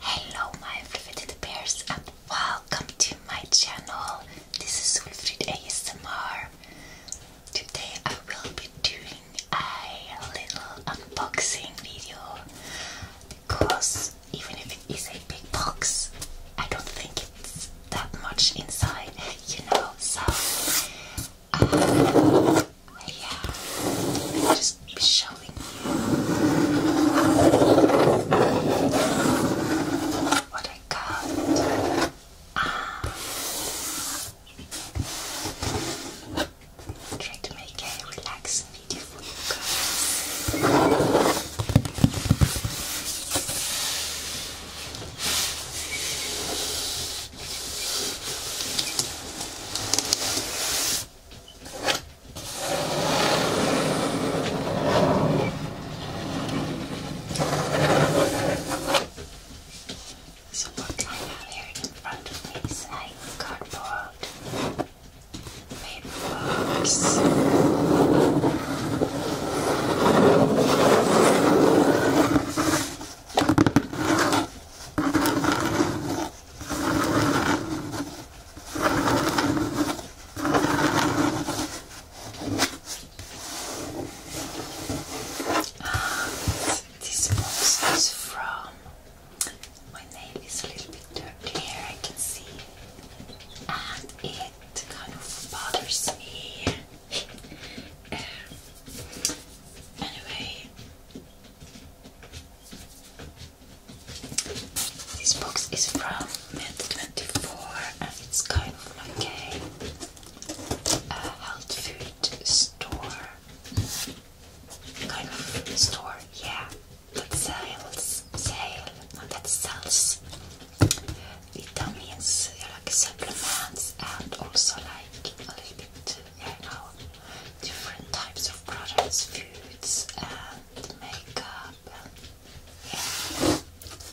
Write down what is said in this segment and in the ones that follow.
Hello, my favorite bears, and welcome to my channel. This is Wilfried ASMR. Today I will be doing a little unboxing video because even if it is a big box, I don't think it's that much inside, you know. So, uh, yeah, i just be showing you what I got. Ah, Try to make a relax, video for you so what I have here in front of me is a cardboard paper box. This box is from my nail is a little bit dirty here, I can see, and it kind of bothers me. Um, anyway, this box is from Med24 and it's kind of okay. a health food store kind of store. Yeah, that sells, sale, not that sells vitamins, like supplements, and also like a little bit, you know, different types of products, foods, and makeup,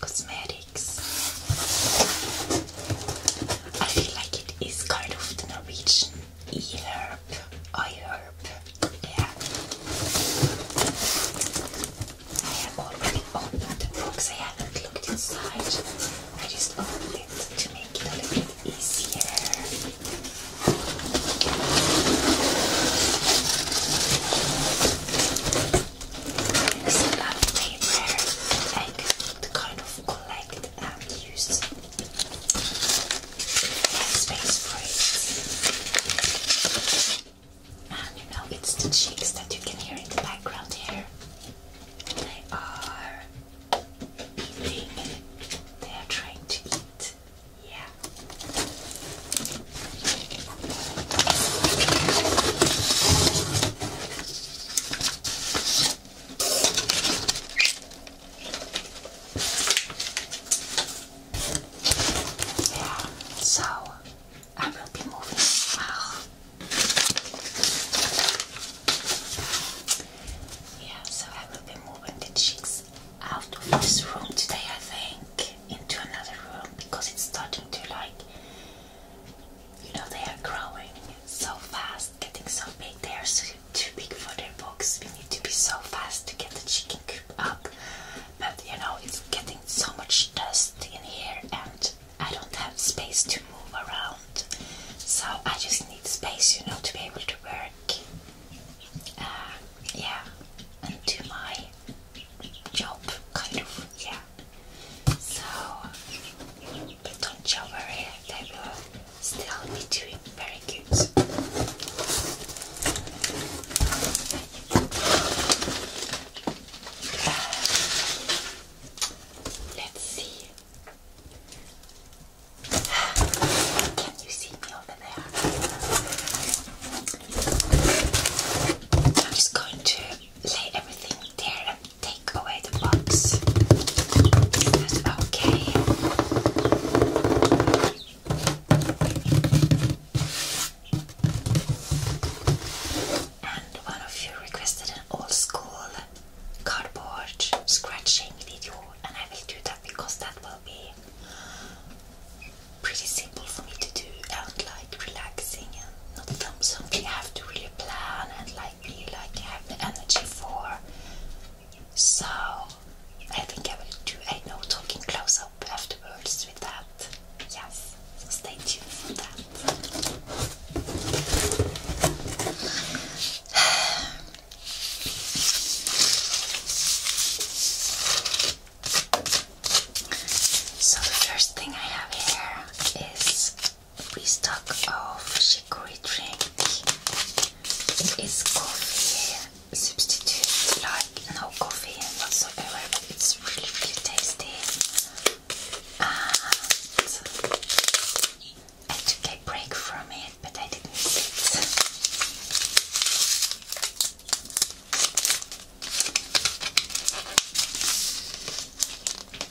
cosmetics. I feel like it is kind of the Norwegian e-herb, i-herb, yeah. I have already opened the box, I haven't looked inside. I just opened it to make it a little bit easier. There's a lot of paper I could kind of collect um, used space braids. And you know, it's the cheeks that you can hear in the background here. They are eating. They are trying to eat. Yeah. Yeah, so I will be moving. Yeah, so I will be moving the chicks out of this room today, I think, into another room because it's starting to like you know, they are growing so fast, getting so big. They are too big for their box. We need to be so fast to get the chicken coop up. But you know, it's getting so much dust in here, and I don't have space to move around. So I just need space, you know, to be able to work. Uh, yeah, and do my job, kind of. Yeah. So, but don't you worry, still doing very good. Uh, let's see. Can you see me over there? I'm just going to lay everything there take away the box. okay? And one of you requested an old school cardboard scratching video, and I will do that because that will be pretty simple for me to do and like relaxing and not something I have to really plan and like feel like I have the energy for. So I think I will do a no talking close up afterwards with that. Yes, so stay tuned for that. So the first thing I have here is we stock of chicory drink. It is coffee substitute, like no coffee and whatsoever, but it's really, really tasty. I took a break from it, but I didn't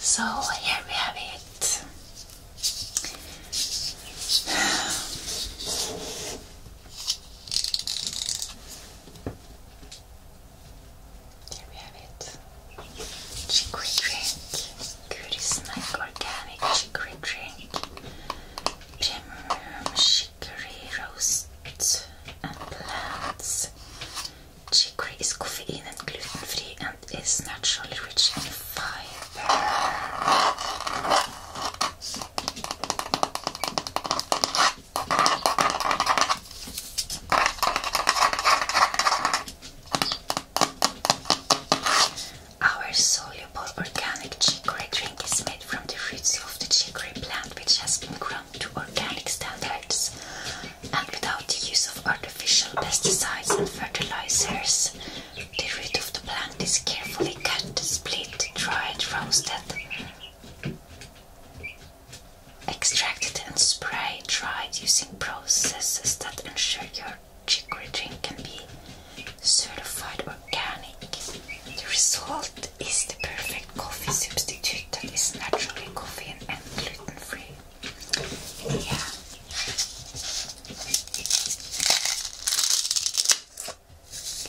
So here we have it. Here we have it. Chicory drink. Goody snack organic chicory drink. Premium chicory roast and plants. Chicory is caffeine and gluten free and is naturally rich in fiber. Our soluble organic chicory drink is made from the roots of the chicory plant, which has been grown to organic standards and without the use of artificial pesticides and fertilizers. The root of the plant is carefully cut, split, dried, roasted extracted and spray dried using processes that ensure your chicory drink can be certified organic. The result is the perfect coffee substitute that is naturally caffeine and gluten free. Yeah.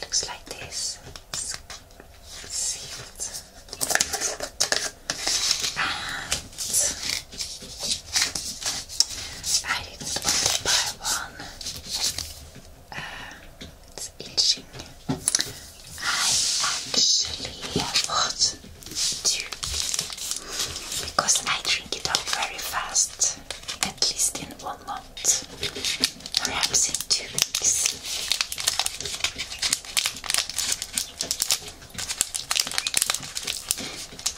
Looks like this sealed. And I didn't buy one uh, it's itching. I actually bought two because I drink it up very fast, at least in one month perhaps in two weeks.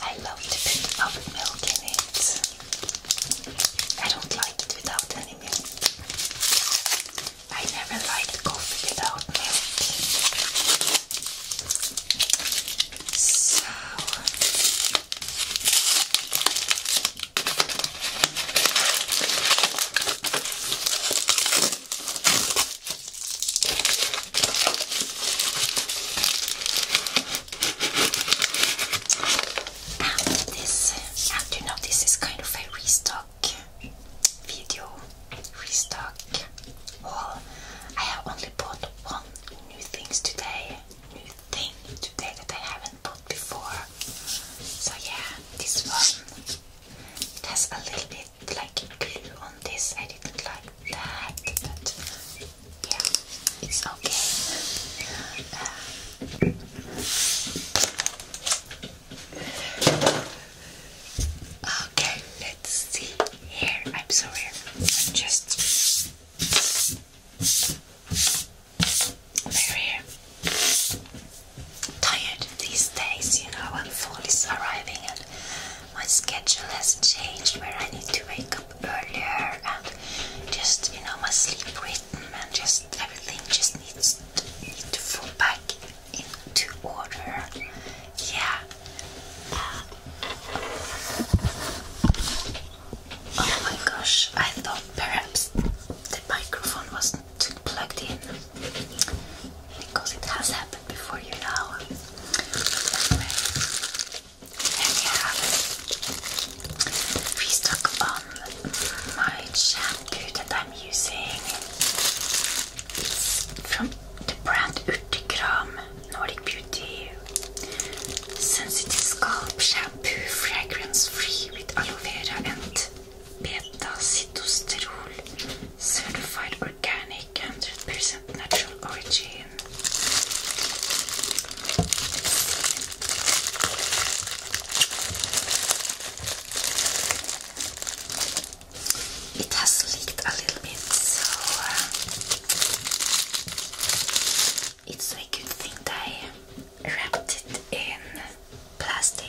I love the bit milk in it. I don't like it without any milk. I never liked coffee without milk. So and this, and you this is kind of a restock video, restock haul. I have only bought one new things today, new thing today that I haven't before. So yeah, this one it has a little bit like glue on this. I didn't like that, but yeah, it's okay. Uh, okay, let's see here. I'm sorry, I'm just very tired these days, you know, when fall is arriving and my schedule has changed where I need to wake up earlier and just, you know, my sleep rhythm and just everything just needs to, need fall back into order. Yeah. oh my gosh, I thought perhaps the microphone was to plugged in because it has happened before, you know. Anyway, and yeah, restock on my shampoo that I'm using. from the brand Urtekram Nordic Beauty Sensitive Scalp Shampoo, fragrance free with aloe vera and Beta Citosterol, certified organic, 100% natural origin. It has leaked a little bit, so uh, it's a good thing that wrapped it in plastic.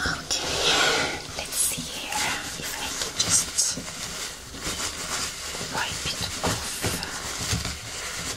Okay, let's see here if I can just wipe it off.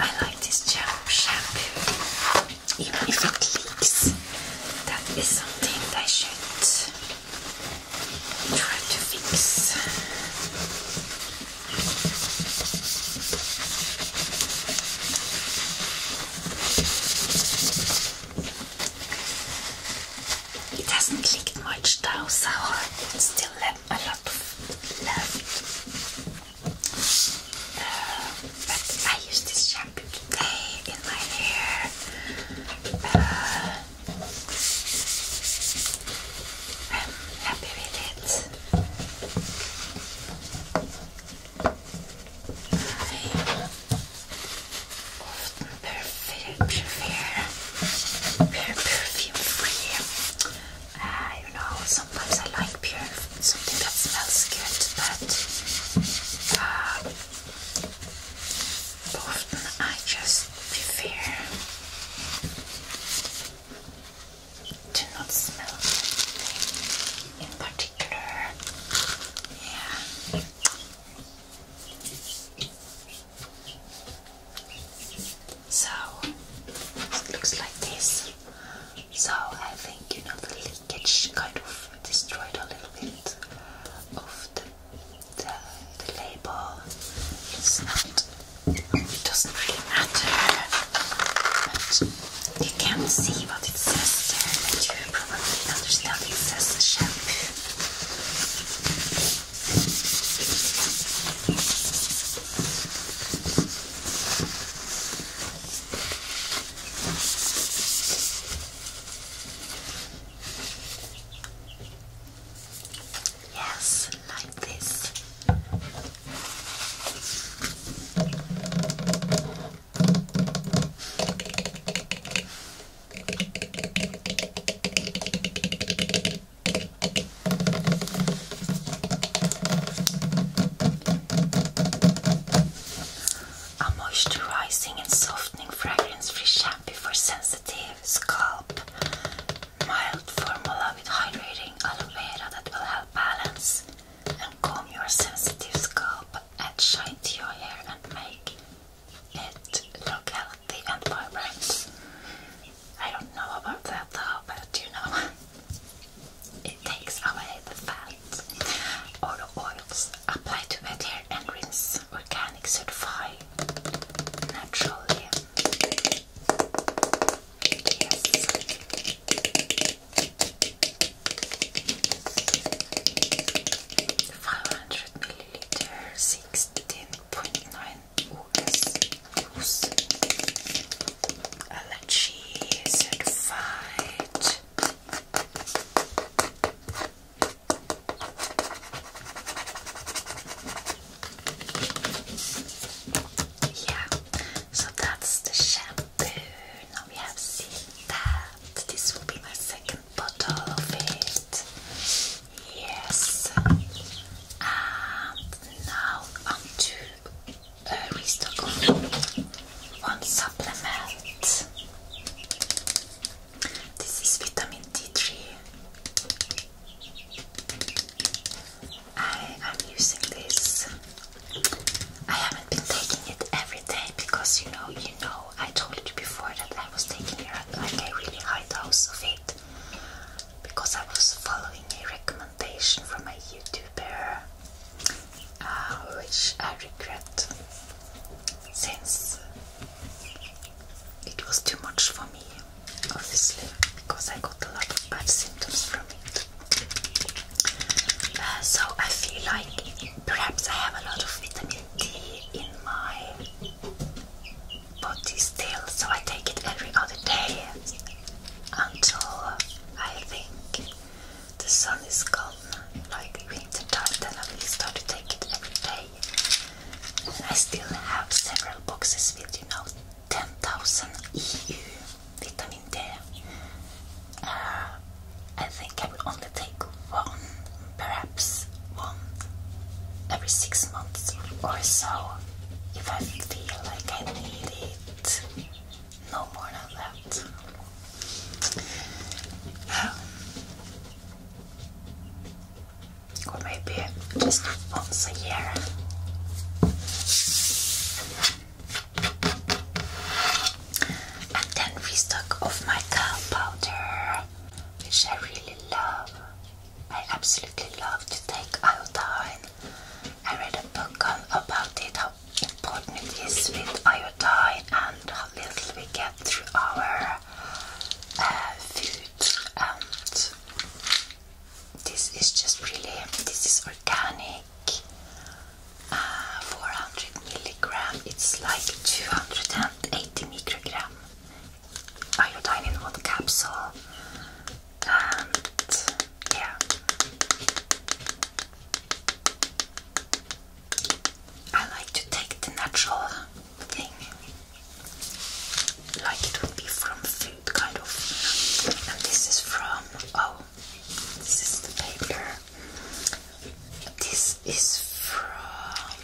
I like this shampoo, even if it leaks. That is something that I should try to fix. It hasn't leaked much though, so I still have a lot of uh, but I use this shampoo today in my hair. Uh, I'm happy with it. often prefer, prefer perfume free Ah, you know, sometimes I like pure something that smells good, but uh, often I just prefer to not smell anything in particular. Yeah. So it looks like this. So I think you know the leakage kind of destroyed a little bit of the label. It's not it doesn't really matter, but you can see what it says there, but you probably understand it says shampoo. Yes, like this. A moisturizing and softening fragrance-free shampoo for sensitive scalp. Mild formula with hydrating aloe vera that will help balance and calm your sensitive scalp, add shine to your hair and make it look healthy and vibrant. I don't know about that though, but you know. It takes away the fat or the oils. Apply to wet hair and rinse. Organic certified naturally. Five hundred milliliter, sixteen point nine US. Yeah, so that's the shampoo. Now we have seen that. This will be my second bottle of it. Yes. And now on uh, we still one supplement. This is vitamin D3. I am using this. I haven't been taking it every day because you know, you know, I told you before that I was taking it like a really high dose of it because I was following a recommendation recommendation from a YouTuber, uh, which I regret since it was too much for me, obviously, because I got a lot of bad symptoms from it. Uh, so I feel like perhaps I have a lot of vitamin D in my body still, so I take it every other day until I think the sun is gone, like winter time, then I will start to take it every day. I still have several boxes with, you know, 10,000 EU vitamin D. Uh, I think I will only take one, perhaps one, every six months or so, if I feel like I need it no more of or maybe just once a year. And then we stock my cow powder, which I really love. I absolutely love to take iodine. I read a book on about it, important is with iodine and how little we get through our uh, food and this is just really this is organic uh, 400 milligram it's like 280 microgram iodine in one capsule and yeah. I like to take the natural thing, like it would be from food, kind of. And this is from, oh, this is the paper. This is from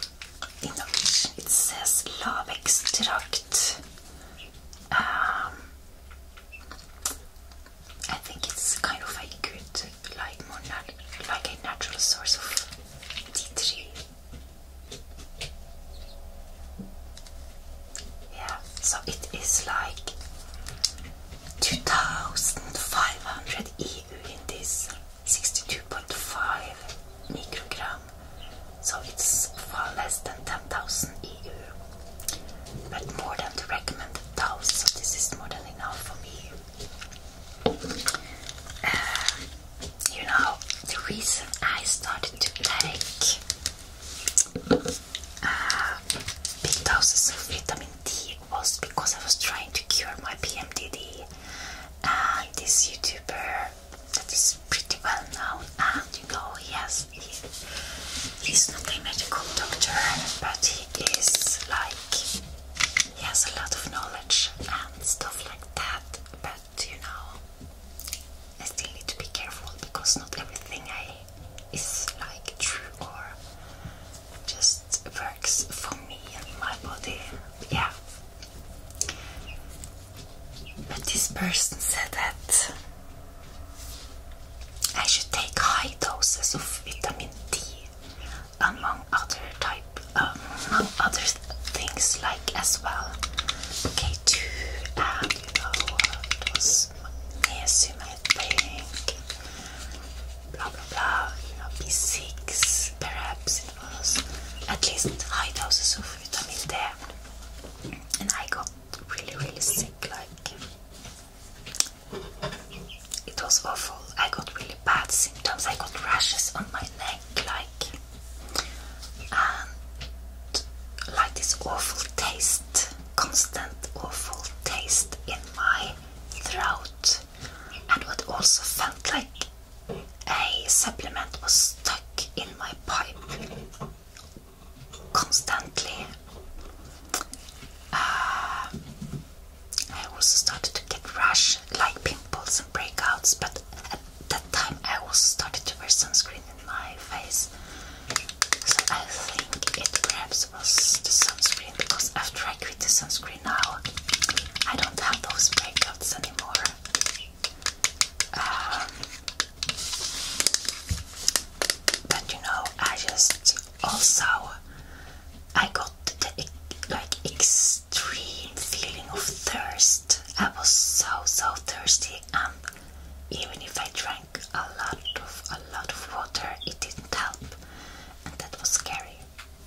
Innovation. It says love extract. Um, I think it's kind of a good, like a natural source of D three. Yeah, so it is like 2500 EU in this 62.5 microgram. So it's far less than 10,000 EU but more than the recommended dose, so this is more than enough for me. Uh, you know, the reason I started to take uh, big doses of vitamin D was because I was trying to cure my PMDD. And this YouTuber that is pretty well known magical. Yes, he, he's not a medical doctor, but he is like he has a lot of knowledge and stuff like that. But you know, I still need to be careful because not everything I is like true or just works for me and my body. Yeah. But this person said that I should take high doses of vitamin D, among other um, things like as well K2 and you was magnesium blah blah blah, you know B6 perhaps it was, at least high doses of vitamin D, and I got really really sick like. It was awful. I got really bad symptoms. I got rashes on my neck, like and like this awful taste, constant awful taste in my throat, and what also felt like a supplement was stuck in my pipe constantly, uh, I also started to get rash, like pimples and breakouts. But at that time, I also started to wear sunscreen in my face, so I think it perhaps was the sunscreen because after I quit the sunscreen now, I don't have those breakouts anymore. Um, but you know, I just also I got the like extreme feeling of thirst. I was so so thirsty, and even if I drank a lot of a lot of water, it didn't help, and that was scary.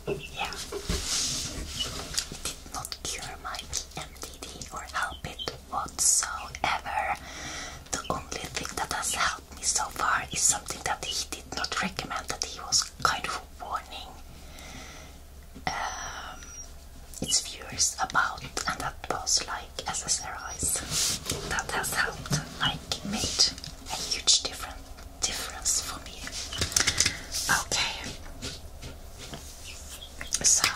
Yeah, it did not cure my PMDD or help it, whatsoever. The only thing that has helped me so far is something that he did not recommend, that he was kind of warning um, its viewers about, and that was like SSRIs. That has helped, like made a huge different difference for me. Okay. So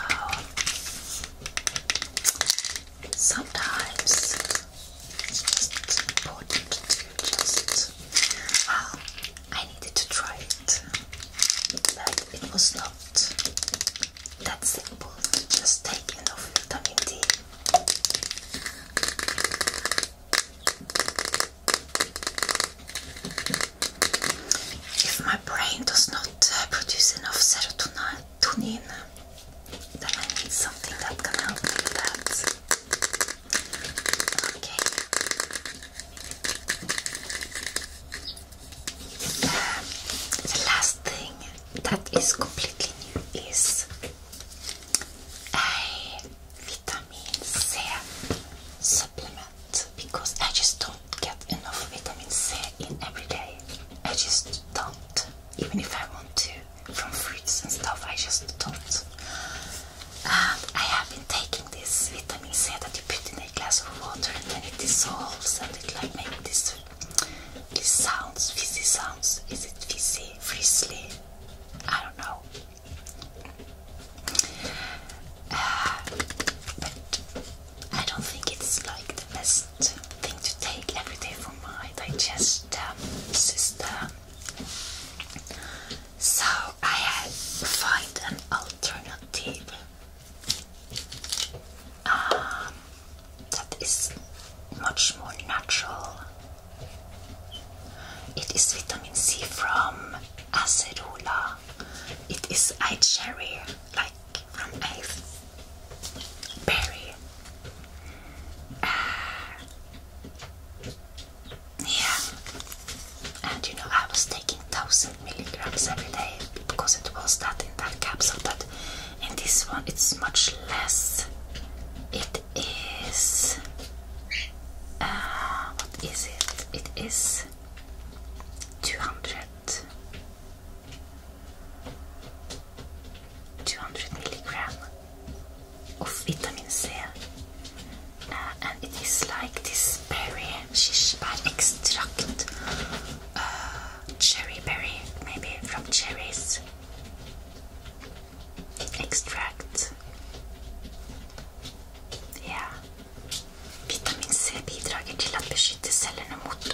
sometimes it's just important to just. Well, I needed to try it, but it was not that simple to just take enough vitamin D. If my brain does not uh, produce enough serotonin, tune in. Then I need something that can help with that. Okay. the last thing that is completely new is a vitamin C supplement because I just don't get enough vitamin C in every day. I just don't even if I want to, from fruits and stuff. I just don't. And um, I have been taking this vitamin C that you put in a glass of water and then it dissolves and it like makes this, this sounds, fizzy sounds. Is it fizzy, frizzly? I don't know. Uh, I don't think it's like the best thing to take every day for my digestive um, system. So I had to find an alternative um, that is much more natural. It is vitamin C from Acerola. It is eye cherry, like from a berry. Uh, yeah, and you know I was taking thousand milligrams every day because it was that in that capsule, but in this one it's much less. It is uh, what is it? It is two hundred 200 milligram of vitamin C uh, and it is like this berry shish extract uh, cherry berry maybe from cherries extract ja. Vitamin C bidrar till att beskytta cellerna mot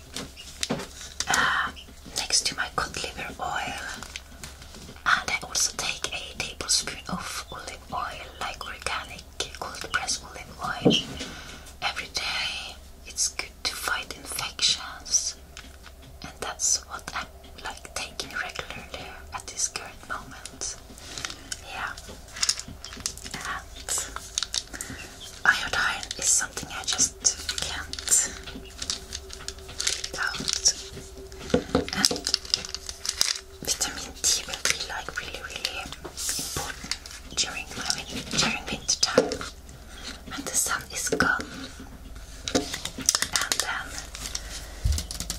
Ah, next to my cod liver oil. And ah, I also take a tablespoon of olive oil, like organic cold pressed olive oil, every day. It's good to fight infections, and that's what I'm like taking regularly at this current moment. Yeah. And iodine is something I just can't get vitamin D will be like really, really important during during winter time when the sun is gone. And then um,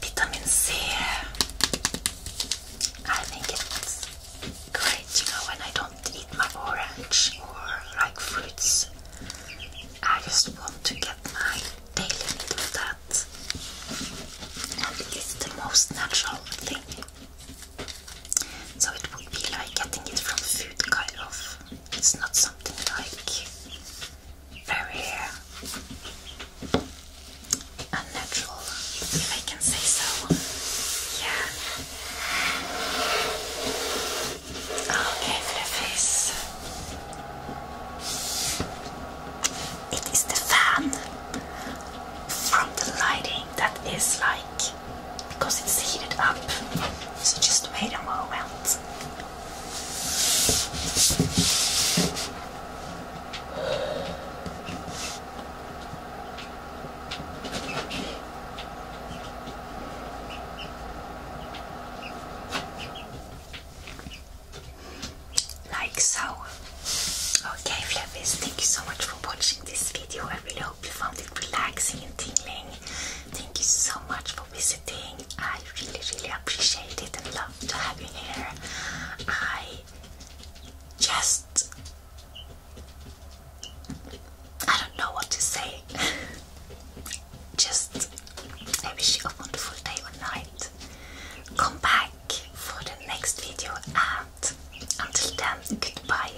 vitamin C. I think it's great, you know, when I don't eat my orange or like fruits. I just want to get my daily need of that. And it's the most natural thing. So it would be like getting it from food kind of. It's not something like very unnatural, if I can say so. Yeah. Okay, for the face. It is the fan from the lighting that is like because it's heated up. So just wait a moment. Like so. Okay, Flappies, thank you so much for watching this video. I really hope you found it relaxing and tingling. Thank you so much for visiting. I really, really appreciate it and love to have you here. I just I don't know what to say. Just I wish you a wonderful day or night. Come back for the next video and until then, goodbye.